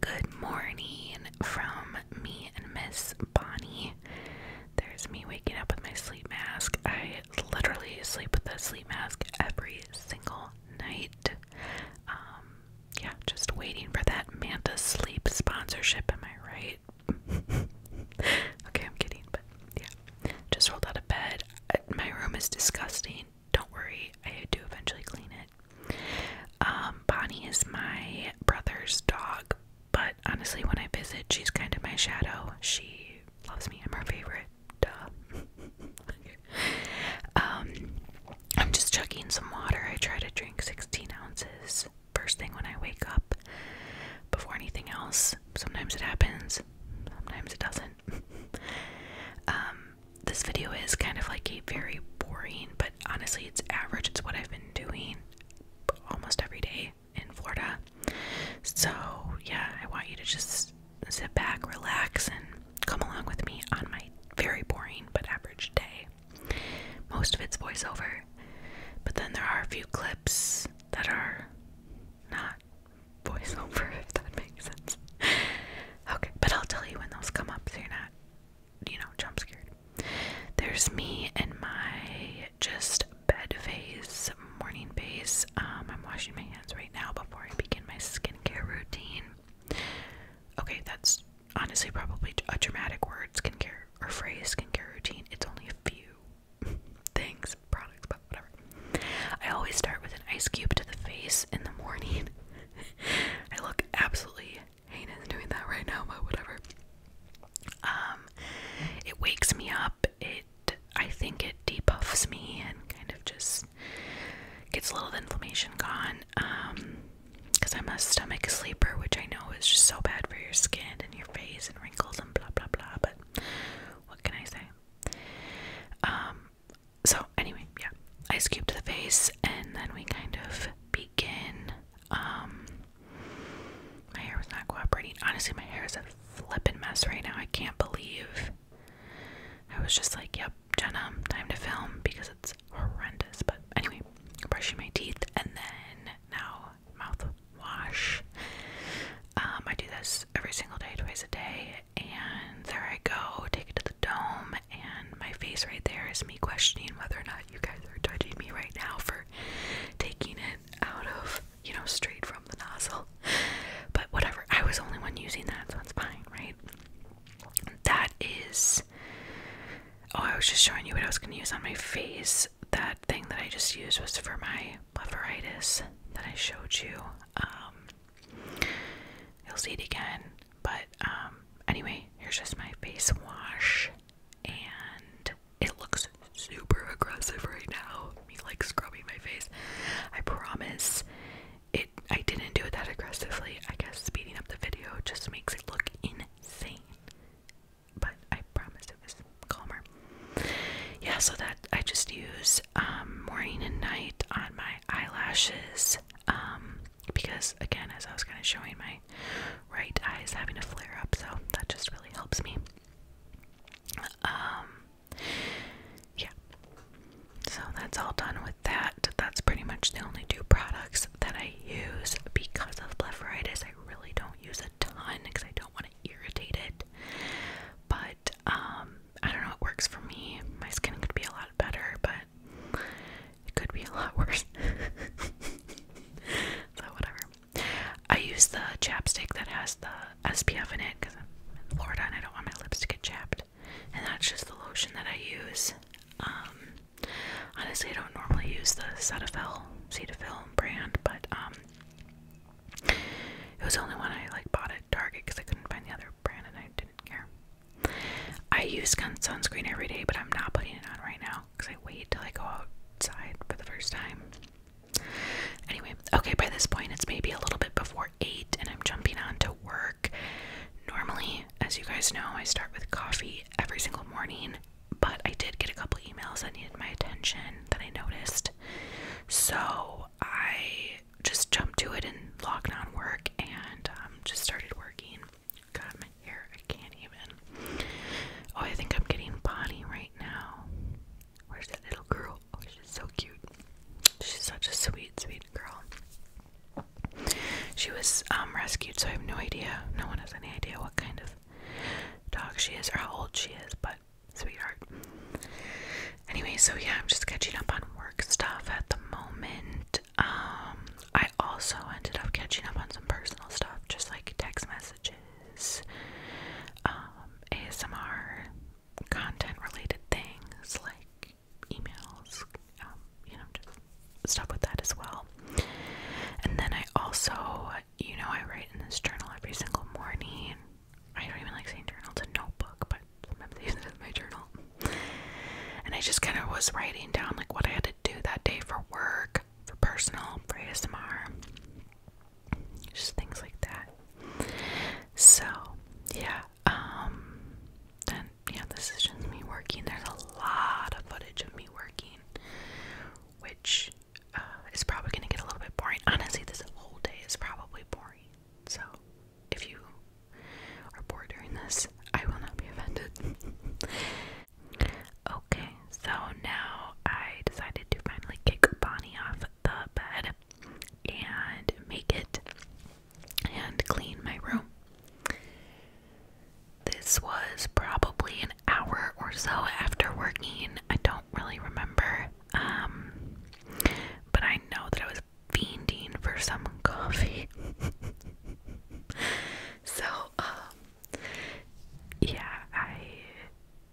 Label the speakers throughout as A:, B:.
A: Good morning from me and Miss Bonnie. There's me waking up with my sleep mask. I literally sleep with a sleep mask every single night. Um, yeah, just waiting for that Manta Sleep sponsorship. Am I right? okay, I'm kidding, but yeah. Just rolled out of bed. My room is disgusting. Don't worry, I do eventually clean it. Um, Bonnie is my brother's dog, but honestly, when I visit, she's kind of my shadow. She loves me. I'm her favorite. Duh. Um, I'm just chugging some water. I try to drink 16 ounces first thing when I wake up before anything else. Sometimes it happens, sometimes it doesn't. Um, this video is kind of like a very boring, but honestly, it's average. It's what I've been doing almost every day in Florida. So, yeah, I want you to just sit back, relax, and come along with me on my very boring but average day. Most of it's voiceover, but then there are a few clips that are not voiceover, if that makes sense. okay, but I'll tell you when those come up so you're not you know, jump scared. There's me and my just bed face, morning face. Um, I'm washing my hands right now before I begin my skincare routine. Okay, that's honestly probably a dramatic word, skincare or phrase, skincare routine. It's only a few things, products, but whatever. I always start with an ice cube to the face in the morning. I look absolutely heinous doing that right now, but whatever. Um, it wakes me up. It, I think, it debuffs me and kind of just gets a little inflammation gone. Um, because I'm a stomach sleeper, which I know is just so bad for your skin and your face and wrinkles and blah blah blah. But what can I say? Um, so anyway, yeah, I cube to the face, and then we kind of begin. Um, my hair was not cooperating. Honestly, my hair is a flippin' mess right now. I can't believe I was just like, "Yep, Jenna, time to film," because it's horrendous. But anyway, brushing my teeth, and then now mouthwash. Um, I do this every single day, twice a day, and there I go, take it to the dome, and my face right there is me questioning whether or not you guys are judging me right now for taking it out of, you know, straight from the nozzle. But whatever, I was the only one using that, so it's fine, right? That is. Oh, I was just showing you what I was going to use on my face. That thing that I just used was for my blepharitis that I showed you. Um, You'll see it again. But um, anyway, here's just my face wash, and it looks super aggressive right now. Me like scrubbing my face. I promise it. I didn't do it that aggressively. I guess speeding up the video just makes it look insane. But I promise it was calmer. Yeah, so that I just use um, morning and night on my eyelashes. Um, because again as I was kind of showing my right eye is having a flare up so that just really helps me um, yeah so that's all done with that that's pretty much the only two products that I use because of blepharitis I really don't use a ton because I don't want to irritate it but um, I don't know it works for me my skin could be a lot better but it could be a lot worse. so, whatever. I use the chapstick that has the SPF in it because I'm in Florida and I don't want my lips to get chapped. And that's just the lotion that I use. Um, honestly, I don't normally use the Cetaphil, Cetaphil brand, but um, it was the only one I like bought at Target because I couldn't find the other brand I didn't care. I use sunscreen every day, but I'm not putting it on right now because I wait till I go outside for the first time. Anyway, okay, by this point it's maybe a little bit before 8 and I'm jumping on to work. Normally, as you guys know, I start with coffee every single morning, but I did get a couple emails that needed my attention that I noticed. So I just jumped to it and in lockdown work and um, just started working. Got my hair, I can't even. Oh, I think I'm getting Bonnie right now. Where's that little girl? Oh, she's so cute. She's such a sweet, sweet girl. She was um, rescued, so I have no idea. No one has any idea what kind of dog she is or how old she is, but sweetheart. Anyway, so yeah, I'm just catching up on work stuff at the moment um, I also ended up catching up on some personal stuff, just like text messages, um, ASMR content related things, like emails, um, you know, just stuff with that as well. And then I also, you know, I write in this journal every single morning. I don't even like saying journal, it's a notebook, but I'm use it in my journal. And I just kind of was writing down like what I had to do that day for work, for personal, for ASMR, just things like that. So, yeah, um, yeah, this is just me working. There's a lot of footage of me working, which uh, is probably gonna get a little bit boring. Honestly, this whole day is probably boring. So if you are bored during this, I will not be offended. okay, so now I decided to finally kick Bonnie off the bed and make it and clean my room. This was probably an hour or so after working. I don't really remember. Um but I know that I was was for some coffee. so, um, yeah, I,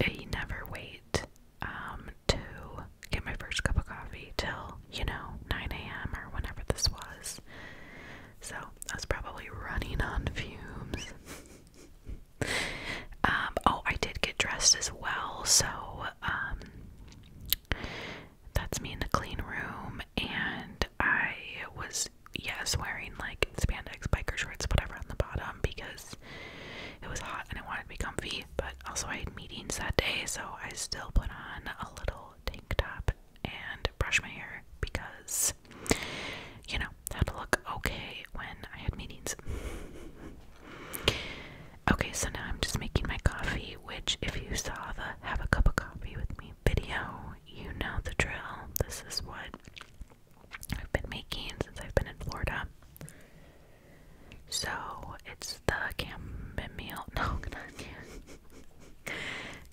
A: I never wait um, to get my first cup of coffee till, you know, 9 a.m. or whenever this was. So, I was probably running on fumes. um, oh, I did get dressed as well, so, um, that's me in the clean room, and I was, yes, wearing like spandex biker shorts, whatever, on the bottom because it was hot and I wanted to be comfy. But also, I had meetings that day, so I still put on a little tank top and brush my hair because, you know, that to look okay when I had meetings. Okay, so now I'm just making my coffee, which, if you saw the have a cup of coffee with me video, you know the drill. This is what I've been making since I've been in Florida. So it's the chamomile, no,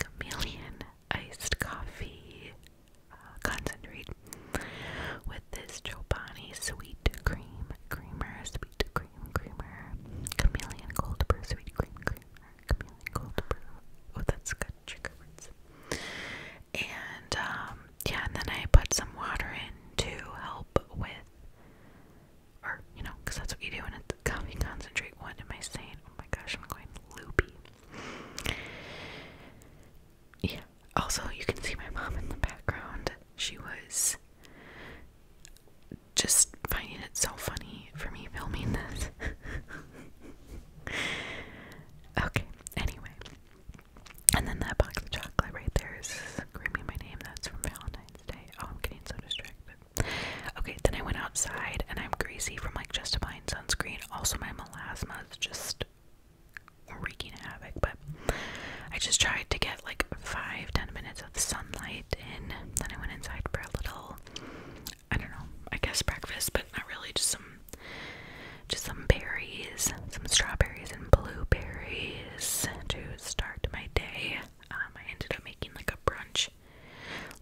A: chameleon iced coffee uh, concentrate with this Joe Bonney sweet cream creamer, sweet cream creamer, chameleon cold brew sweet cream creamer, chameleon cold brew. Oh, that's good And um, yeah, and then I put some water in to help with, or you know, that's what you do when it's coffee concentrate. What am I saying? Oh my gosh, I'm going loopy. Yeah. Also, you can see my mom in the background. She was just finding it so funny for me filming this. okay, anyway. And then that box of chocolate right there is screaming my name. That's from Valentine's Day. Oh, I'm getting so distracted. Okay, then I went outside and I'm greasy from like just applying sunscreen. Also, my melasma is just wreaking havoc, I just tried to get like five, ten minutes of sunlight and Then I went inside for a little, I don't know, I guess breakfast, but not really, just some, just some berries, some strawberries and blueberries to start my day. Um, I ended up making like a brunch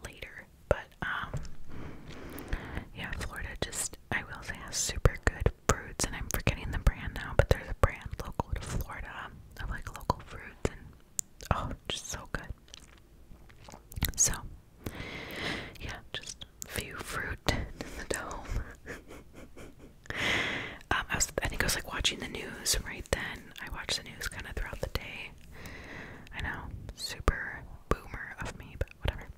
A: later, but um, yeah, Florida just, I will have super good fruits, and I'm forgetting the brand now, but there's a brand local to Florida of like local fruits and oh, just so good. So, yeah, just few fruit in the dome. um, I I think I was like watching the news right then. I watched the news kind of throughout the day. I know, super boomer of me, but whatever.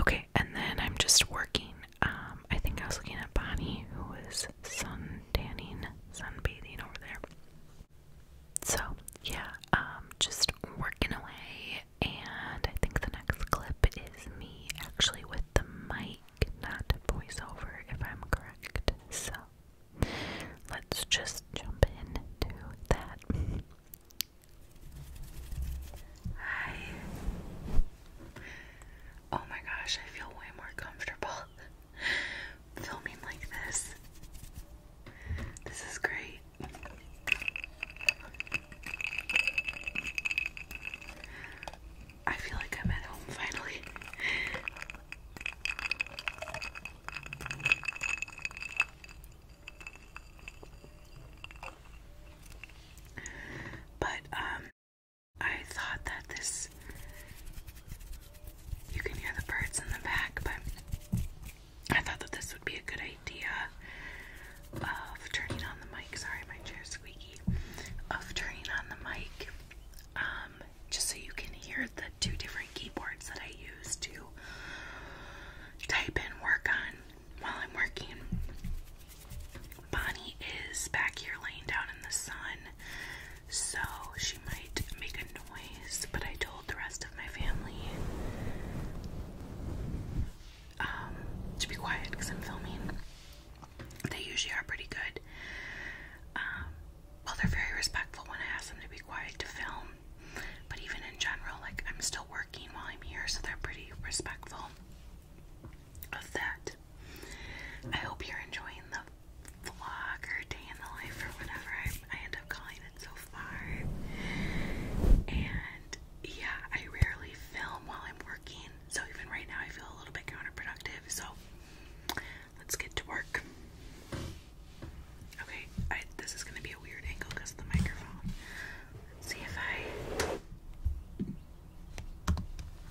A: Okay, and then I'm just working um, I think I was looking at Bonnie, who was sun tanning, sunbathing over there. So, yeah, um, just working away. And I think the next clip is me actually with the mic, not voiceover, if I'm correct. So, let's just jump into that. Hi. Oh my gosh, I feel way more comfortable filming like this. This is great. I feel like I'm at home finally. But um I thought that this. You can hear the birds in the back, but I thought that this would be a good idea of turning on the mic. Sorry, my chair squeaky. Of turning on the mic, um, just so you can hear the two different keyboards that I use to type and work on while I'm working. Bonnie is back here laying down in the sun, so she might make a noise, but I told the rest of my family um, to be quiet because I'm filming. They usually are pretty good. Um, well, they're very respectful when I ask them to be quiet to film, but even in general, like I'm still working while I'm here, so they're pretty respectful of that. I hope you're enjoying the vlog or day in the life or whatever I, I end up calling it so far. And yeah, I rarely film while I'm working, so even right now I feel a little bit counterproductive. So let's get to work. Okay, this is going to be a weird angle because the microphone. see if I.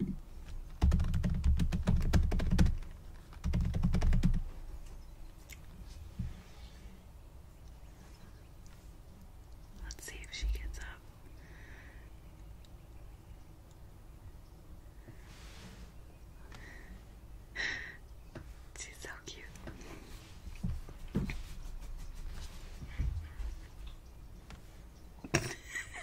A: Let's see if she gets up. She's so cute.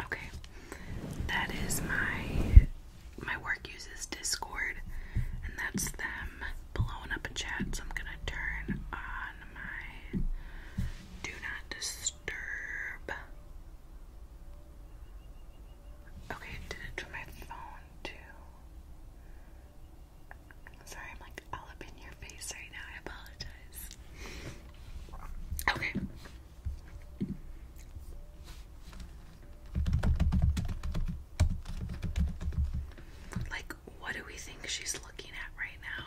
A: Okay, that is my my work uses Discord, and that's them Blowing up a chat, so I'm gonna turn on my do not disturb. Okay, did it to my phone too. Sorry, I'm like all up in your face right now. I apologize. Okay. Like what do we think she's looking at right now?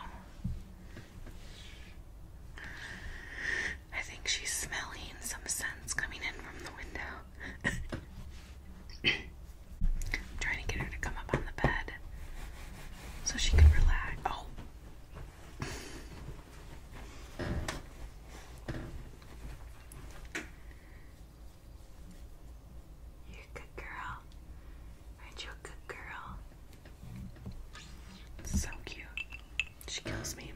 A: I think she's smelling some scents coming in from the window. trying to get her to come up on the bed so she can relax. Oh. You're a good girl. Aren't you a good girl? So cute. She kills me.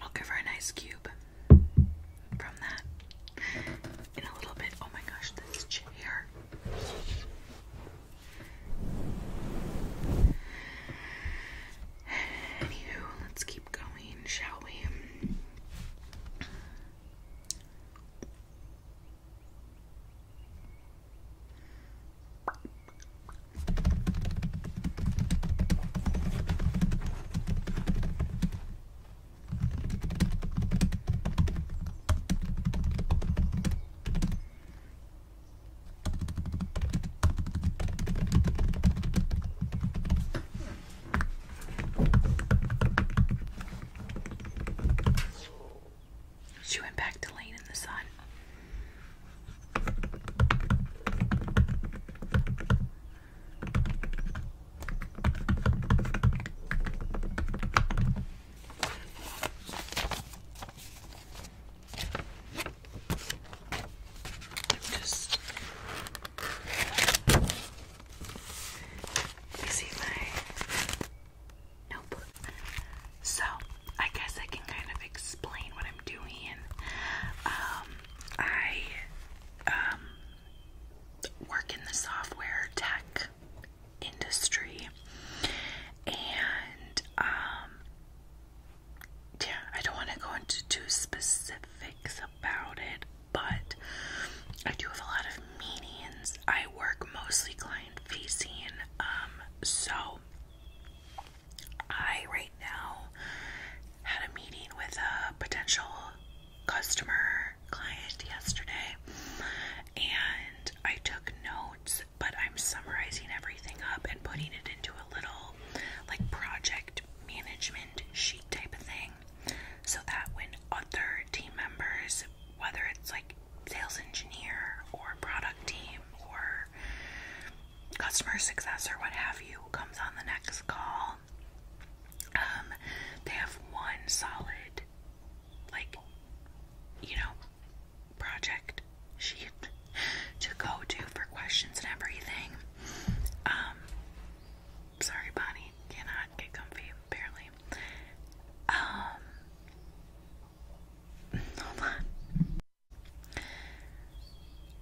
A: I'll give her an ice cube from that in a little bit. Oh my gosh, this chair. Anywho, let's keep going, shall we? She went back to laying in the sun i just you see my notebook. So I guess I can kind of explain what I'm doing. Um, I um, work in the software tech industry and um, yeah, I don't want to go into too specifics about it, but I do have a lot of meetings. I work mostly client facing, um, so I right now had a meeting with a potential customer client yesterday, and I took notes but I'm summarizing everything up and putting it into a little like project management sheet type of thing so that when other team members, whether it's like sales engineer or product team or customer success or what have you, comes on the next call, um, they have one solid, like, you know, project sheet to go to for questions and everything. Um, sorry, Bonnie, cannot get comfy apparently. Um, hold on.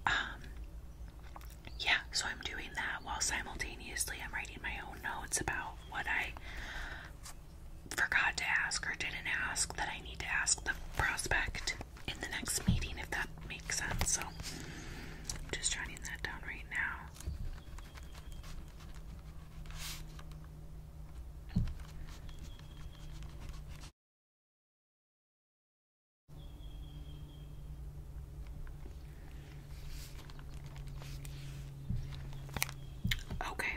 A: Um, yeah, so I'm doing that while simultaneously I'm writing my own notes about what I forgot to ask or didn't ask that I need to ask the prospect in the next meeting, if that makes sense. So I'm just writing that down right now. Okay,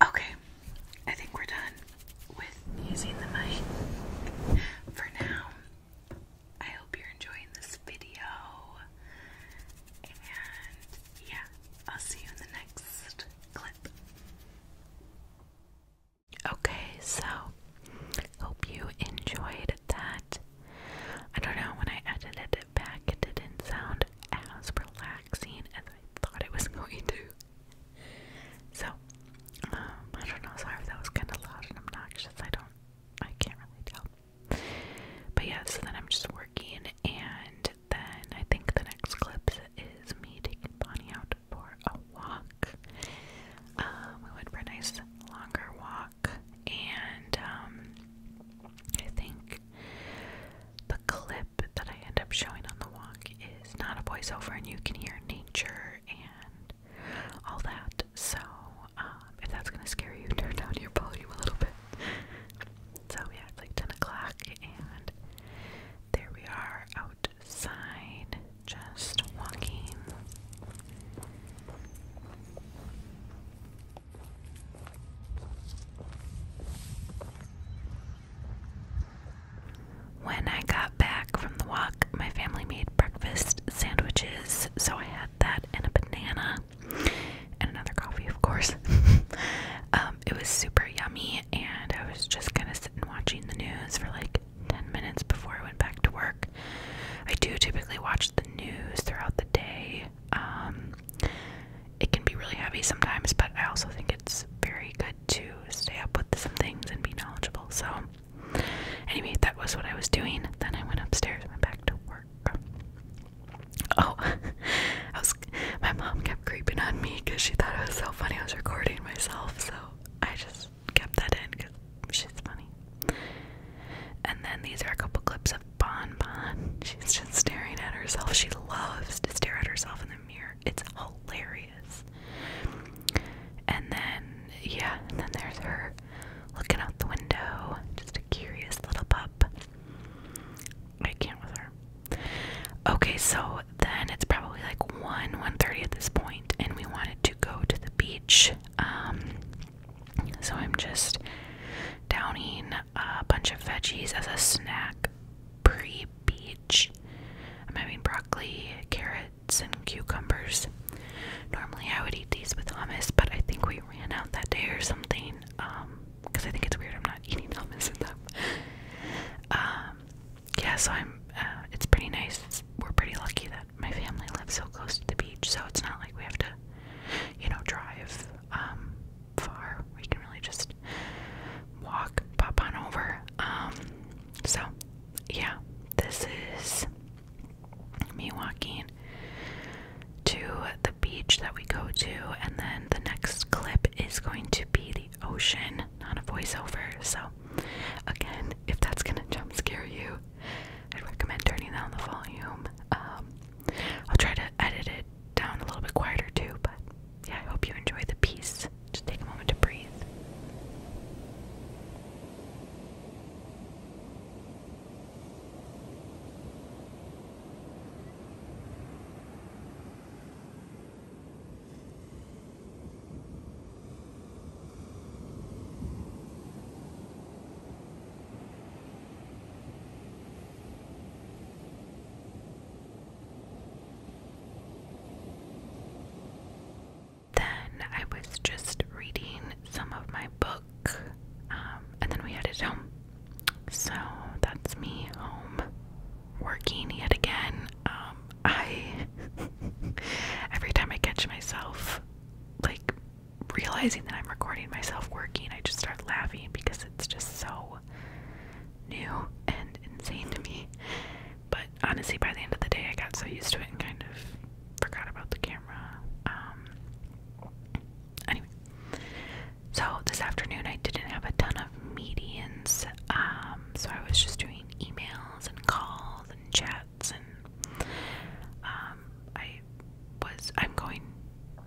A: Okay, I think we're done with using the mic for now. I hope you're enjoying this video. And yeah, I'll see you in the next clip. Okay, so hope you enjoyed that. I don't know, when I edited it back, it didn't sound as relaxing as I thought it was going to. So, um, I don't know, sorry if that was kind of loud and obnoxious. I don't, I can't really tell. But yeah, so then I'm just working, and then I think the next clip is me taking Bonnie out for a walk. Um, we went for a nice longer walk, and um, I think the clip that I end up showing on the walk is not a voiceover, and you can hear nature and all that. So, um, if that's gonna scare you, turn down your volume a little bit. So yeah, it's like 10 o'clock, and there we are outside, just walking. When I got back from the walk, my family made breakfast sandwiches, so I had that and a banana and another coffee, of course. Um, it was super yummy, and I was just kind of sitting watching the news for like 10 minutes before I went back to work. I do typically watch the news throughout the day. Um, it can be really heavy sometimes, but I also think it's very good to stay up with some things and be knowledgeable. So, anyway, that was what I was doing. Then I went upstairs and went back to work. Oh, I was. My mom kept creeping on me because she thought it was so funny I was recording myself, so I just kept that in because she's funny. And then these are a couple clips of Bon Bon. She's just staring at herself. She loves to stare at herself in the mirror. It's hilarious. And then, yeah, and then there's her looking out the window. Just a curious little pup. I can't with her. Okay, so then it's probably like 1, one thirty at this point, and we wanted to go to the beach. Um, so I'm just downing a bunch of veggies as a snack pre-beach. I'm having broccoli, carrots, and cucumbers. Normally I would eat these with hummus, but I think we ran out that day or something. Um, because I think it's weird I'm not eating hummus in them. Um, yeah, so I'm. Uh, it's pretty nice. we're pretty lucky that my family lives so close to the beach, so it's not like we have to, you know, drive um, far. We can really just walk, pop on over. Um, so, yeah, this is me walking to the beach that we go to, and then the next clip is going to be the ocean, not a voiceover. So, again, if that's gonna jump scare you, I'd recommend turning down the volume. Um, I'll try to edit it down a little bit quieter too, but yeah, I hope you enjoy the piece. Just take a moment to breathe. Then I was just reading some of my books. Um, and then we headed home. So that's me home working yet again. Um, I every time I catch myself like realizing that I'm recording myself working, I just start laughing because it's just so new and insane to me. But honestly, by the end of the day, I got so used to it and kind of forgot about the camera. Um, anyway, so this afternoon I didn't have a ton of meetings, um, so I was just doing emails and calls and chats, and um, I was I'm going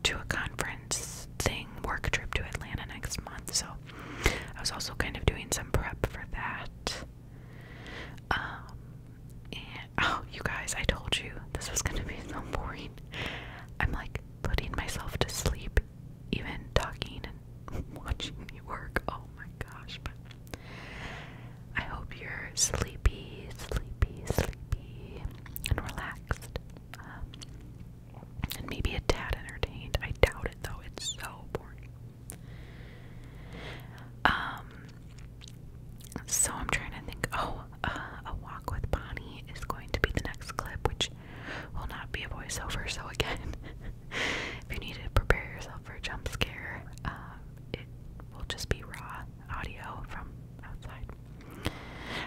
A: to a conference thing, work trip to Atlanta next month, so I was also kind of doing some prep for that. Um, Oh, you guys, I told you this was gonna be so boring. I'm like putting myself to sleep, even talking and watching me work. Oh my gosh, but I hope you're sleepy, sleepy, sleepy, and relaxed. Um, and maybe a tad entertained. I doubt it though, it's so boring. Um, so I'm trying to think. Oh, uh, a walk with Bonnie is going to be the next clip, which will not be a voiceover. So again, if you need to prepare yourself for a jump scare, um, it will just be raw audio from outside.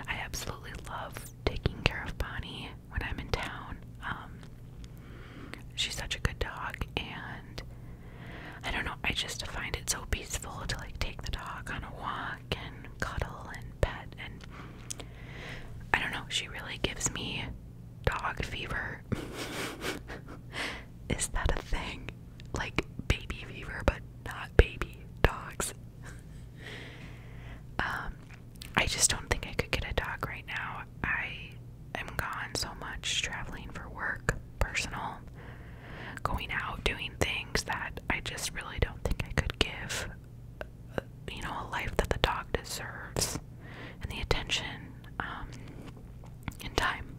A: I absolutely love taking care of Bonnie when I'm in town. Um, she's such a good dog, and I don't know, I just find it so peaceful to like take the dog on a walk and cuddle and pet and I don't know, she really gives me dog fever. Is that a thing? Like baby fever, but not baby dogs. um I just don't think I could get a dog right now. I am gone so much traveling for work, personal, going out, doing things that I just really don't think I could give, uh, you know, a life that the dog deserves and the attention in um, time.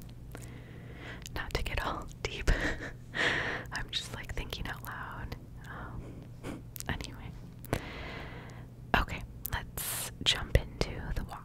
A: Not to get all deep, I'm just like thinking out loud. Um, anyway, okay, let's jump into the walk.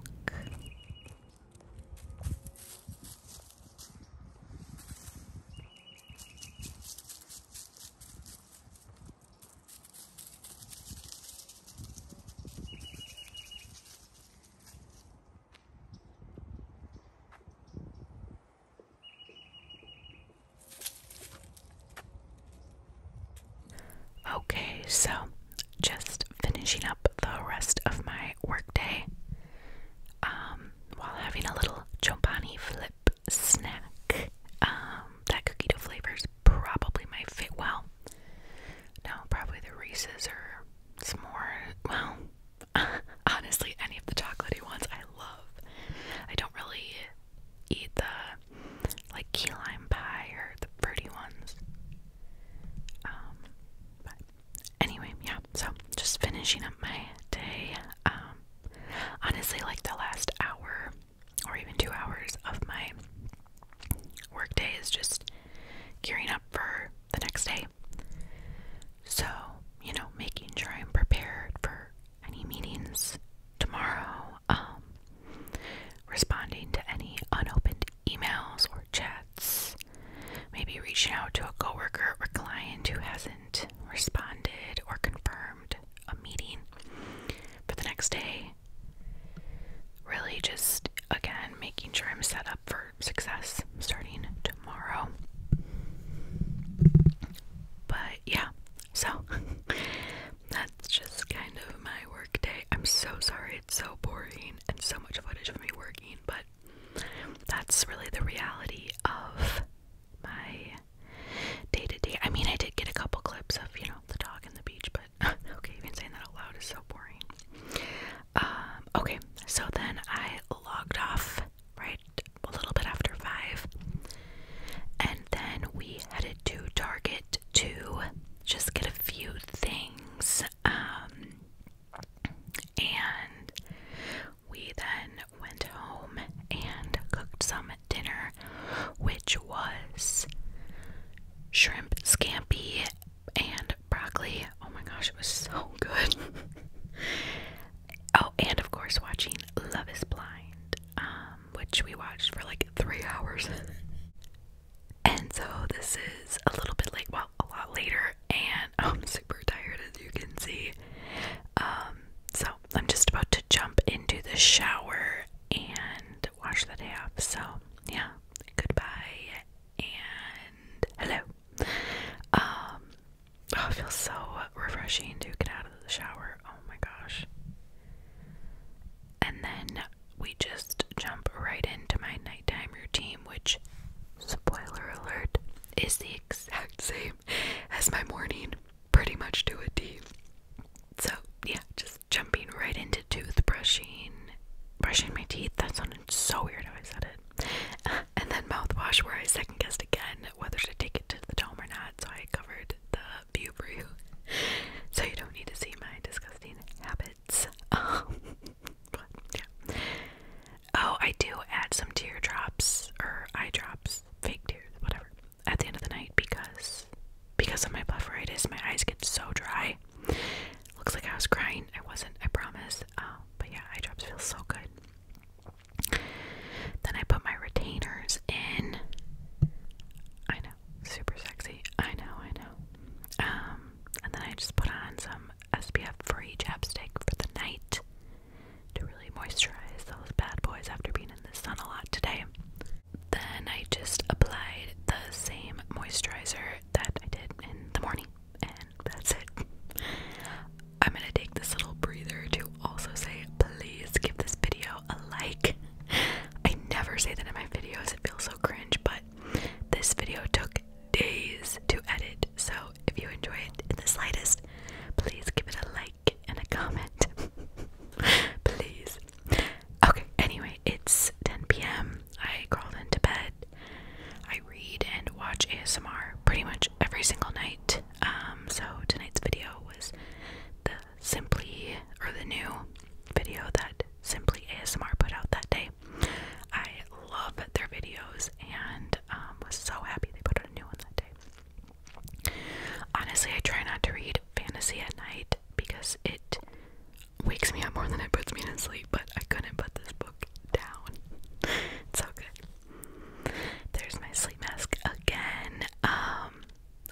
A: Okay, so just finishing up the rest of my workday. Um, while having a little Chobani flip snack. Um, that cookie dough flavors probably might fit. Well, no, probably the Reese's or s'more. Well, honestly, any of the chocolatey ones I love. I don't really eat the like key lime pie or the fruity ones. Um, anyway, yeah, so just finishing up my day. Um, honestly, like the last hour or even two hours of my work day is just gearing up for the next day. So, you know, making sure I'm prepared for any meetings tomorrow, um, responding to any unopened emails or chats maybe reaching out to a coworker or client who hasn't responded or confirmed a meeting for the next day. Really, just again, making sure I'm set up for success starting tomorrow. But yeah, so that's just kind of my work day. I'm so sorry, it's so boring and so much footage of me working, but that's really the reality of my day to day. I mean, I did get a couple clips of, you know, the dog and the beach, but okay, even saying that out loud is so boring. Um, okay, so then I logged off right a little bit after five, and then we headed to Target to just get a few things. Um, and we then went home and cooked some dinner, which was shrimp scampi and broccoli. Oh my gosh, it was so good. oh, and of course, watching Love is Blind, um, which we watched for like three hours. and so, this is a little bit like a lot later and I'm super tired as you can see. Um, so I'm just about to jump into the shower and wash the day off. So yeah, goodbye and hello. Um oh it feels so refreshing to get out of the shower. Oh my gosh. And then we just jump right into my night nighttime routine, which, spoiler alert, is the exact same as my morning, pretty much to a T. So, yeah, just jumping right into toothbrushing, brushing my teeth. That sounded so weird how I said it. and then mouthwash, where I second guessed again whether to take it to the dome or not, so I covered the view for you. So you don't need to see my disgusting habits. but yeah. Oh, I do add some teardrops or eye drops, fake tears, whatever, at the end of the night because because of my blepharitis, my eyes get so dry. Looks like I was crying. I wasn't, I promise. Um, but yeah, eye drops feel so good. Then I put my retainers in. I know, super sexy. I know, I know. Um, and then I just put on some SPF free chapstick for the night to really moisturize those bad boys after being in the sun a lot today. Then I just applied the same moisturizer that I did in the morning, and that's it. I'm gonna take this little breather to also say, please give this video a like. I never say that in my videos, it feels so cringe, but this video took days to edit. So if you enjoy it in the slightest, please give it a like and a comment. please. Okay, anyway, it's 10 p.m. I crawled into bed. I read and watch ASMR pretty much every single night. Um, so tonight's video was the Simply or the new video that Simply ASMR put out that day. I love their videos and um, was so happy they put out a new one that day. Honestly, I try not to read fantasy at night because it wakes me up more than it puts me to sleep, but I couldn't put this book down. it's so good. There's my sleep mask again. Um,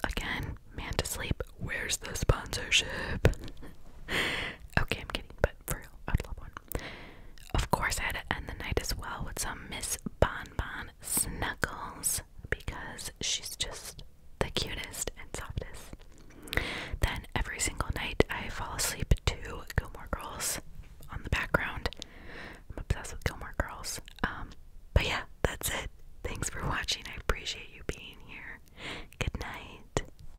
A: again, man to sleep. Where's the sponsorship? okay, I'm kidding, but for real, I'd love one. Of course, I had to end the night as well with some Miss Bonbon Snuggles because she's just the cutest and softest. Then every single night, I fall asleep to Gilmore Girls on the background. I'm obsessed with Gilmore Girls. Um, but yeah, that's it. Thanks for watching. I appreciate you being here. Good night.